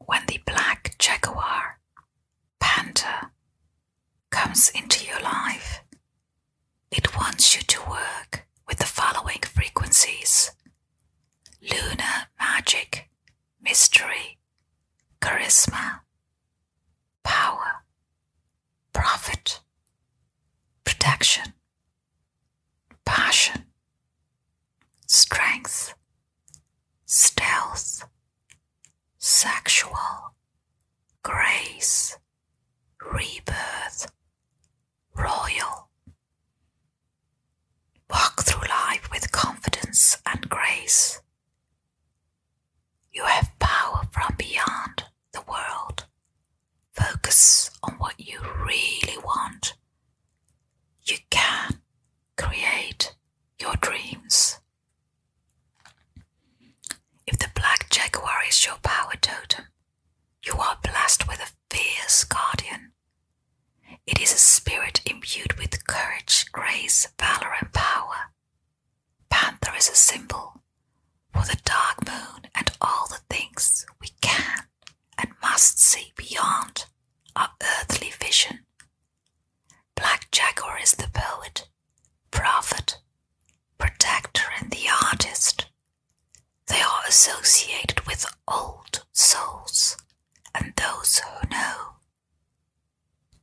When the black jaguar, panther, comes into your life, it wants you to work with the following frequencies lunar magic, mystery, charisma, power, profit, protection, passion, strength, stealth, sexual, grace, rebirth, royal. Walk through life with confidence and grace. You have power from beyond the world. Focus on what you really want you can create your dreams. If the black jaguar is your power totem, you are blessed with a fierce guardian. It is a spirit imbued with courage, grace, valor, and power. Panther is a symbol for the dark moon and all the things we can and must see beyond our earthly vision. Black Jaguar is the poet, prophet, protector, and the artist. They are associated with old souls and those who know.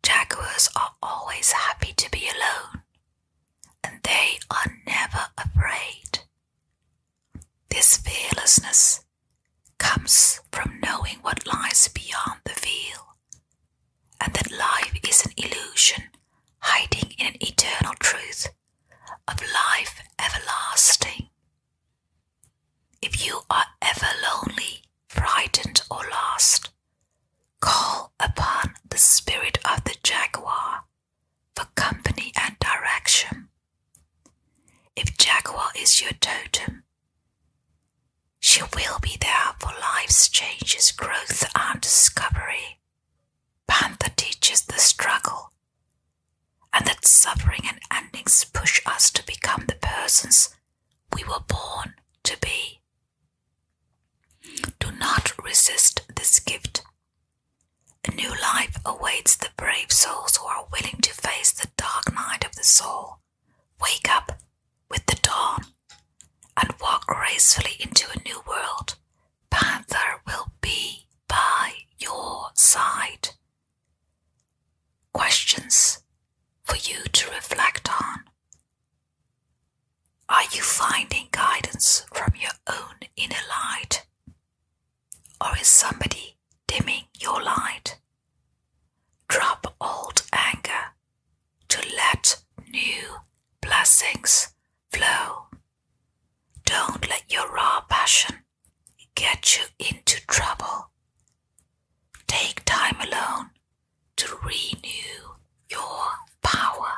Jaguars are always happy to be alone, and they are never afraid. This fearlessness comes from knowing what lies beyond the veil, and that life is an illusion hiding in an eternal truth of life everlasting. If you are ever lonely, frightened, or lost, call upon the spirit of the jaguar for company and direction. If Jaguar is your totem, she will be there for life's changes, growth, and discovery. Panther teaches the struggle and that suffering and endings push us to become the persons we were born to be. Do not resist this gift a new life awaits the brave souls who are willing to face the dark night of the soul. Wake up with the dawn and walk gracefully into a new world. Panther will be by your side. Questions for you to reflect on. Are you finding guidance from your own inner light? Or is somebody dimming your light. Drop old anger to let new blessings flow. Don't let your raw passion get you into trouble. Take time alone to renew your power.